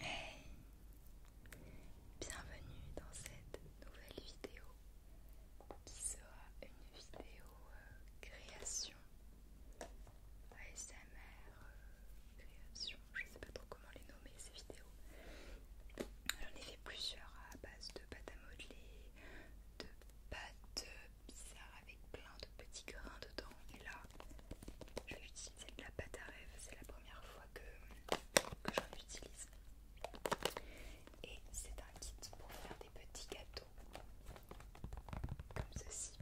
Hey Bienvenue dans cette nouvelle vidéo qui sera une vidéo euh, création ASMR euh, création, je sais pas trop comment les nommer ces vidéos. J'en ai fait plusieurs à base de pâte à modeler, de pâte bizarre avec plein de petits grains dedans et là je vais utiliser c'est de la pâte à rêve, c'est la première fois que, que j'en utilise. Et c'est un kit pour faire des petits gâteaux, comme ceci.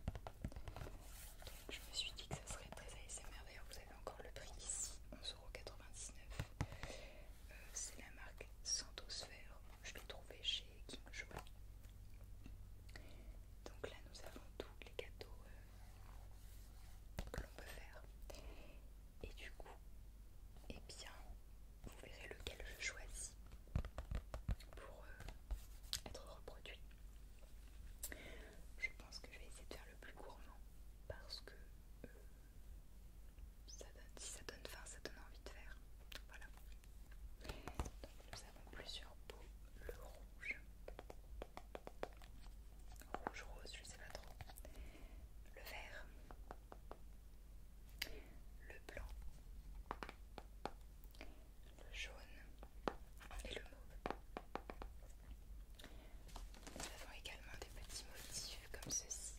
je me suis dit que ça serait très ASMR, d'ailleurs vous avez encore le prix ici, 11,99€. Euh, c'est la marque Santosphère, je l'ai trouvé chez King Donc là nous avons tous les gâteaux euh, que l'on peut faire. Et du coup, et eh bien, vous verrez lequel je choisis pour euh, être reproduit. Je pense que je vais essayer de faire le plus gourmand parce que euh, si ça donne fin, ça donne envie de faire. Voilà. Donc nous avons plusieurs pots, le rouge. Rouge, rose, je sais pas trop. Le vert. Le blanc. Le jaune. Et le mauve. Nous avons également des petits motifs comme ceci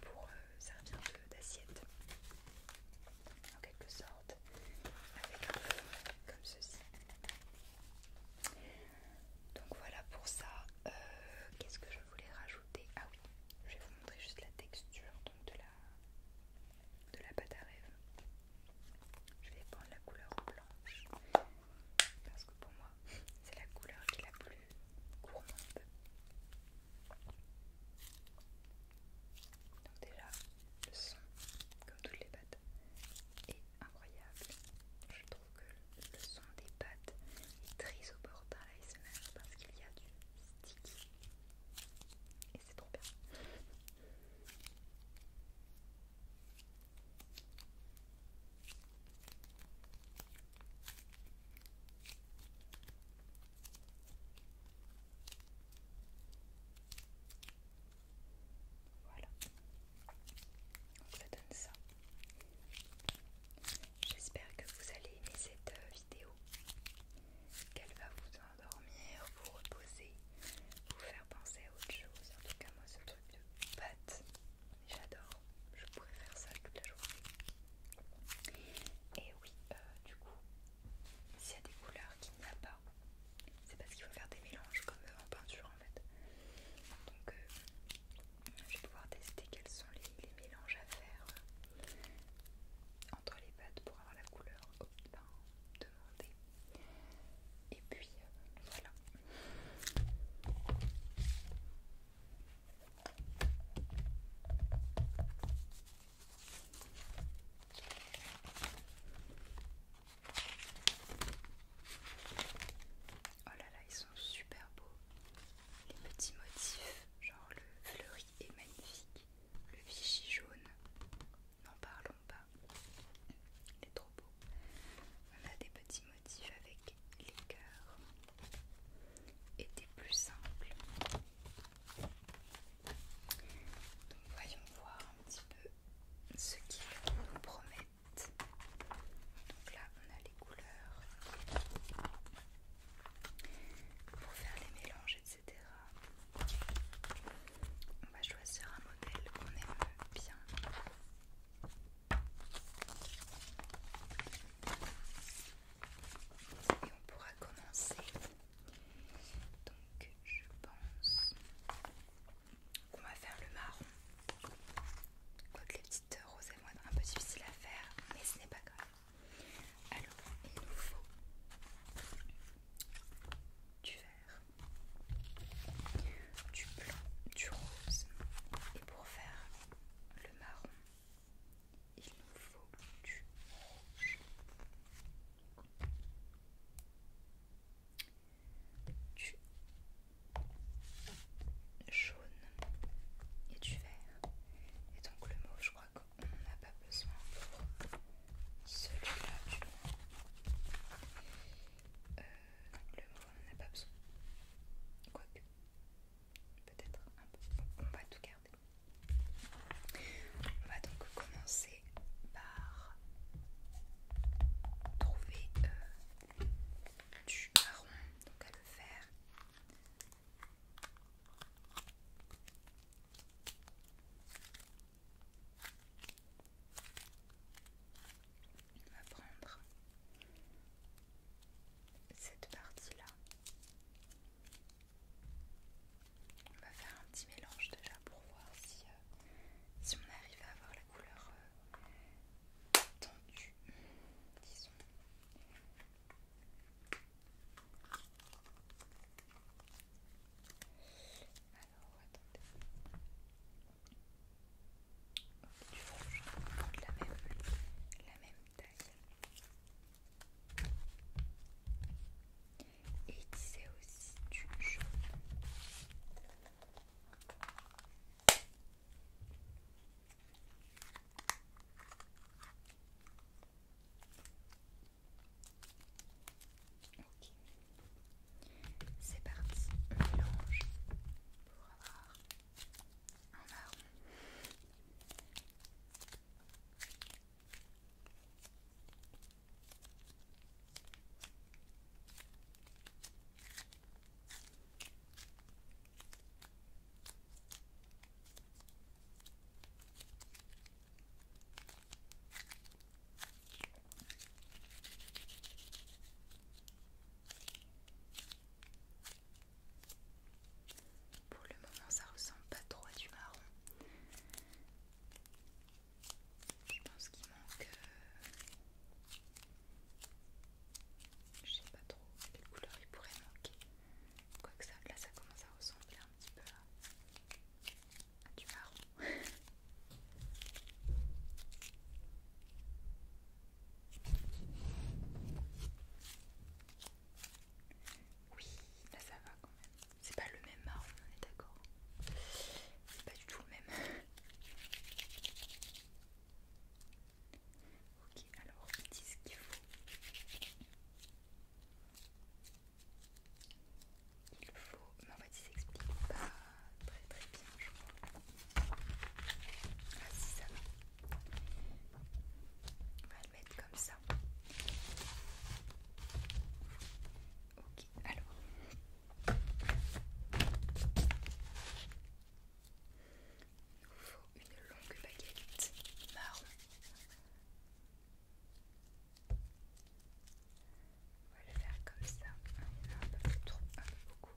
pour euh, servir d'assiette en quelque sorte avec un fond comme ceci. Donc voilà pour ça. Euh, qu'est-ce que je voulais rajouter Ah oui, je vais vous montrer juste la texture donc de la de la pâte à rêve. Je vais prendre la couleur blanche parce que pour moi c'est la couleur qui est la plus gourmande. Donc déjà le son, comme toutes les pâtes, et incroyable. Je trouve que le son des pattes est très opportun à l'ASMR parce qu'il y a du sticky. Et c'est trop bien. Voilà. Donc ça donne ça. J'espère que vous allez aimer cette euh, vidéo, qu'elle va vous endormir, vous reposer, vous faire penser à autre chose. En tout cas, moi, ce truc de pâte, j'adore. Je pourrais faire ça toute la journée. Et oui, euh, du coup, s'il y a des couleurs qu'il n'y a pas c'est parce qu'il faut faire des mélanges comme euh, en peinture en fait. Donc euh, je vais pouvoir tester quels sont les, mélanges à faire euh, entre les pattes pour avoir la couleur demandée. Et puis voilà. Oh là là, ils sont super beaux. Les petits motifs, genre le fleuri est magnifique, le vichy jaune, n'en parlons pas. Il est trop beau. On a des petits motifs avec les cœurs et des plus simples. Donc voyons voir un petit peu ce qu'ils nous promettent. Donc là, on a les couleurs pour faire les mélanges, etc. On va choisir un modèle qu'on aime bien. Et on pourra commencer. Donc je pense on va faire le marron. Quoique les petites roses vont un peu difficiles à faire, mais ce n'est pas grave. Alors, il nous faut du vert, du blanc, du rose. Et pour faire le marron, il nous faut du rouge du jaune et du vert. Et donc le mot, je crois qu'on n'a pas besoin pour celui-là du euh, le mot, on n'en a pas besoin. que peut-être un peu. on va tout garder. On va donc commencer par trouver euh, du marron, donc à le faire. On va prendre cette partie là. On va faire un petit mélange déjà pour voir si euh, euh, si on arrive à avoir la couleur euh, tendue, disons. Alors, attendez. Du rouge, de la même, la même taille. Et c'est disait aussi du jaune. Ok, c'est parti, mélange pour avoir un marron. Pour le moment, ça ressemble pas trop à du marron. Je pense qu'il manque. Euh, je sais pas trop quelle couleur il pourrait manquer. Quoi que ça, là ça commence à ressembler un petit peu à, à du marron. Oui, là ça va quand même. C'est pas le même marron, on est d'accord. C'est pas du tout le même. ok, alors dis ce qu'il faut. Il faut. Mais en fait, il s'explique pas très très bien, je crois. Ah, si ça va. On va le mettre comme ça. Ok, alors. Il vous faut une longue baguette marron. On va le faire comme ça. Il y en a un peu trop, beaucoup.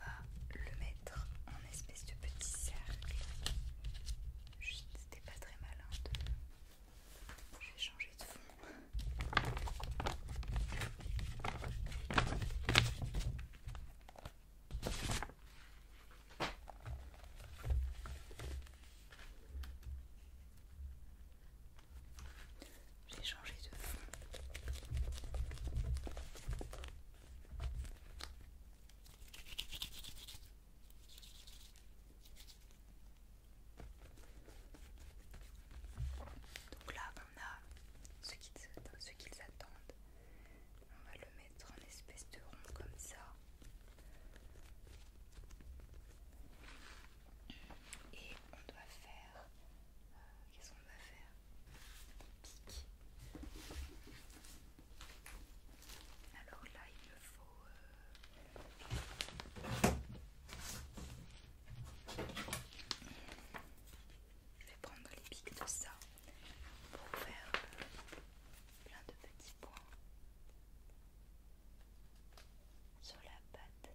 va le mettre en espèce de petit cercle. Juste, c'était pas très malin de... Je vais changer de fond. J'ai changé de fond. Donc là on a ce qu'ils attendent. On va le mettre en espèce de rond comme ça. Et on doit faire... Euh, qu'est-ce qu'on doit faire alors là, il me faut. Euh, je vais prendre les pics de ça pour faire euh, plein de petits points sur la pâte.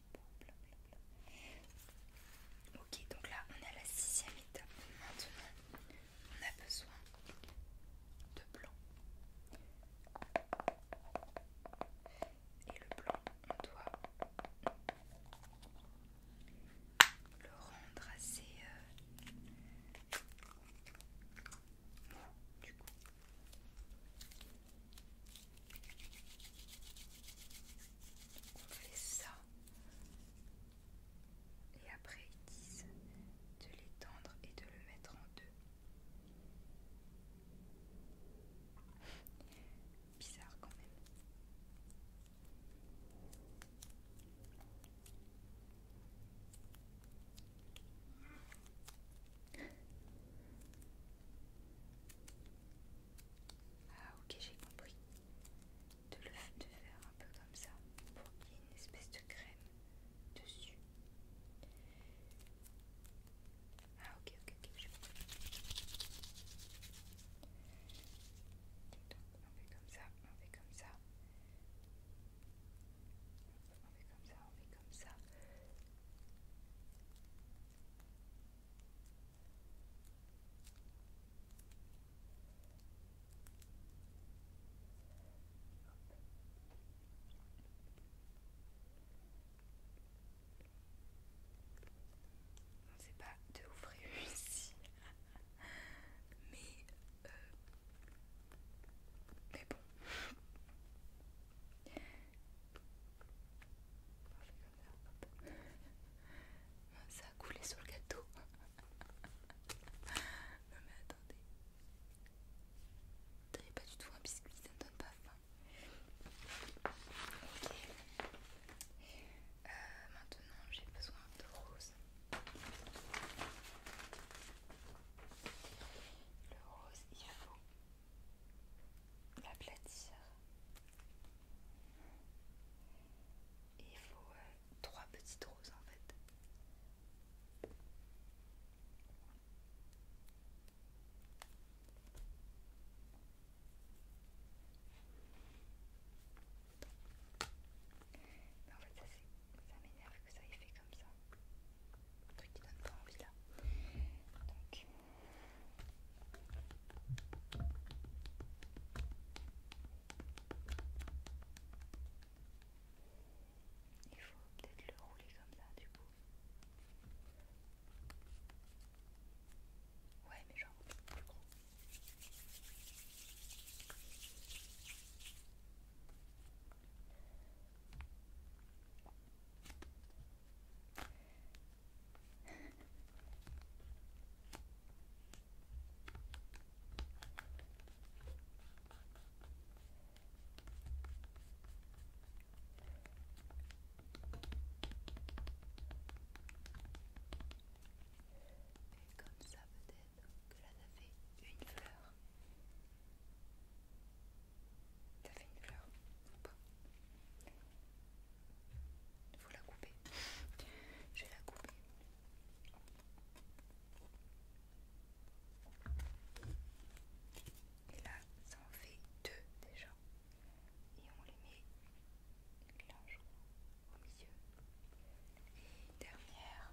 Ok, donc là on est à la sixième étape. Maintenant, on a besoin de blanc. Et le blanc, on doit le rendre assez euh, du coup. On fait ça. Et après, ils disent de l'étendre et de le mettre en deux. Bizarre quand même. Ah ok j'ai compris. De le faire un peu comme ça pour qu'il y ait une espèce de crème dessus. Ah ok ok ok j'ai compris. Donc on fait comme ça, on fait comme ça. On fait comme ça, on fait comme ça. On pas de ouvrir ici mais euh, mais bon ça a coulé sur le gâteau. non mais attendez. T'avais pas du tout un biscuit, ça ne donne pas faim. Ok. Euh, maintenant j'ai besoin de rose. Le rose, il faut l'aplatir. Et il faut euh, trois petites roses en fait. Mais en fait ça, ça m'énerve que ça ait fait comme ça. Un truc qui donne pas envie là. Donc il faut peut-être le rouler comme ça du coup. Ouais mais genre plus gros. Et comme ça peut-être que la ça une fleur. Ça fait une fleur ou pas Il faut la couper. Je vais la couper. Et là, ça en fait deux déjà. Et on les met là, au milieu. Et dernière.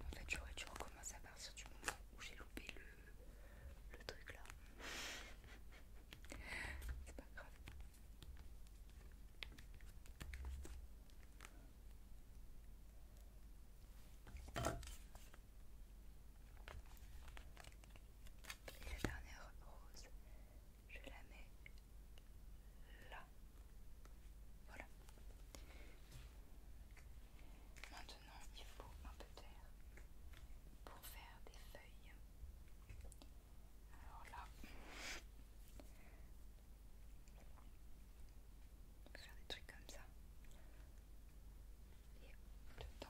En fait, j'aurais dû recommencer à partir du moment où j'ai loupé le, le truc là. C'est pas grave. Et la dernière rose, je la mets là. Voilà. Maintenant, il faut un peu d'air pour faire des feuilles. Alors là, faire des trucs comme ça. Et le temps.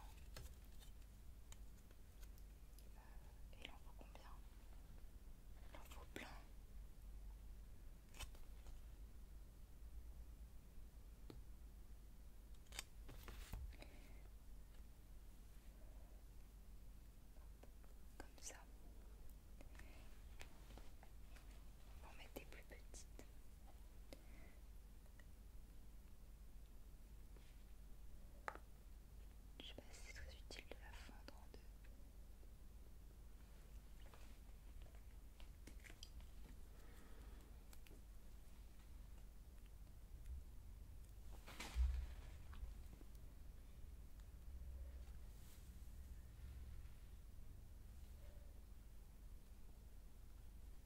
Et il en faut combien Il en faut plein. Comme ça. On va en mettre des plus petites. Je sais c'est très utile de la fendre en deux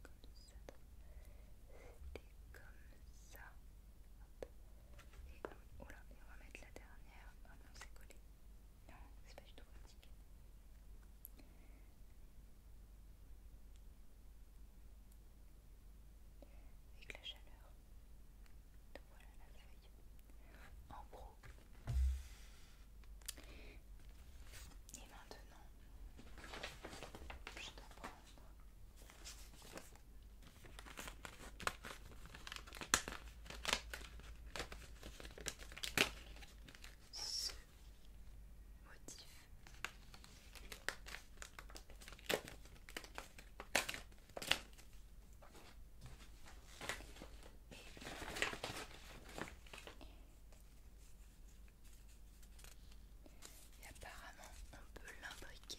comme ça. c'était Et, on, oh et on va mettre la dernière. Ah non, c'est collé. Non, c'est pas du tout pratique. Avec la chaleur. Donc voilà la feuille. En gros, et maintenant, je dois prendre ce motif apparemment, on peut l'imbriquer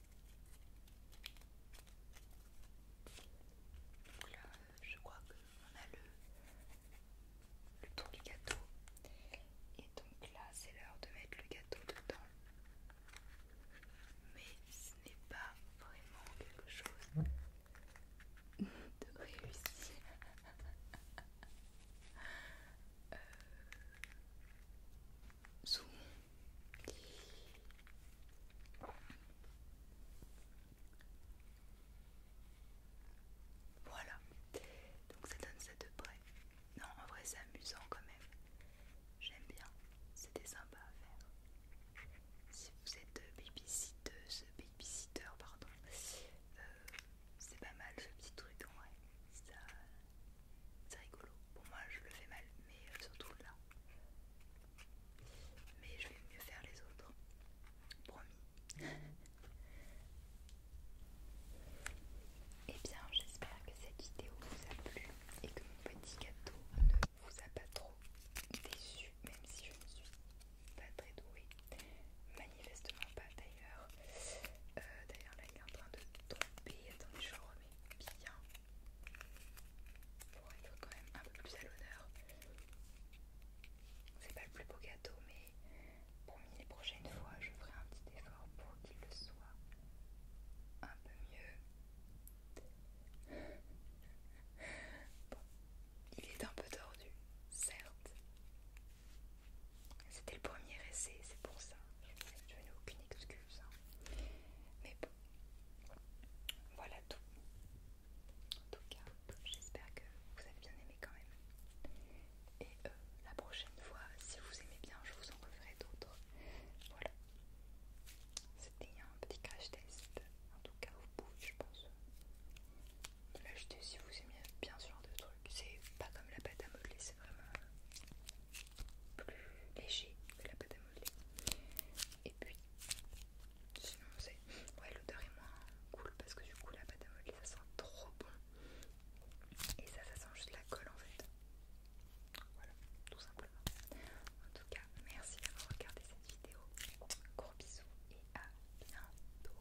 Donc là, je crois qu'on a le, le tour du gâteau. Et donc là, c'est l'heure de mettre le gâteau dedans. Mais ce n'est pas vraiment quelque chose de réussi. euh, voilà, donc ça donne ça de près. Non, en vrai, c'est amusant quand même. J'aime bien, c'était sympa à faire. Si vous êtes baby babysitter, pardon, euh, c'est pas mal ce petit truc en vrai. C'est rigolo. Pour moi je le fais mal, mais euh, surtout là. Mais je vais mieux faire les autres. Promis. Et eh bien, j'espère que cette vidéo vous a plu et que mon petit gâteau ne vous a pas trop déçu, même si je ne suis pas très douée. Manifestement pas d'ailleurs. Euh, d'ailleurs, là il est en train de tomber. Attendez, je le remets bien pour être quand même un peu plus à l'honneur. C'est pas le plus beau gâteau, mais pour les prochaines fois, je ferai un petit effort pour qu'il le soit un peu mieux. il est un peu tordu, certes. C'était le premier essai, c'est pour ça je, n'ai aucune excuse. Hein. Mais bon, voilà tout. En tout cas, j'espère que vous avez bien aimé quand même. Et euh, la prochaine fois, si vous aimez bien, je vous en referai d'autres. Voilà. C'était un petit crash test. En tout cas, vous bout, je pense, l'acheter si vous aimez bien ce genre de truc. C'est pas comme la pâte à modeler, c'est vraiment euh, plus léger que la pâte à modeler. Et puis, sinon, c'est. Ouais, l'odeur est moins cool parce que du coup, la pâte à modeler ça sent trop bon. Et ça, ça sent juste la colle en fait. Voilà, tout simplement. En tout cas, merci d'avoir regardé cette vidéo. Gros bisous et à bientôt.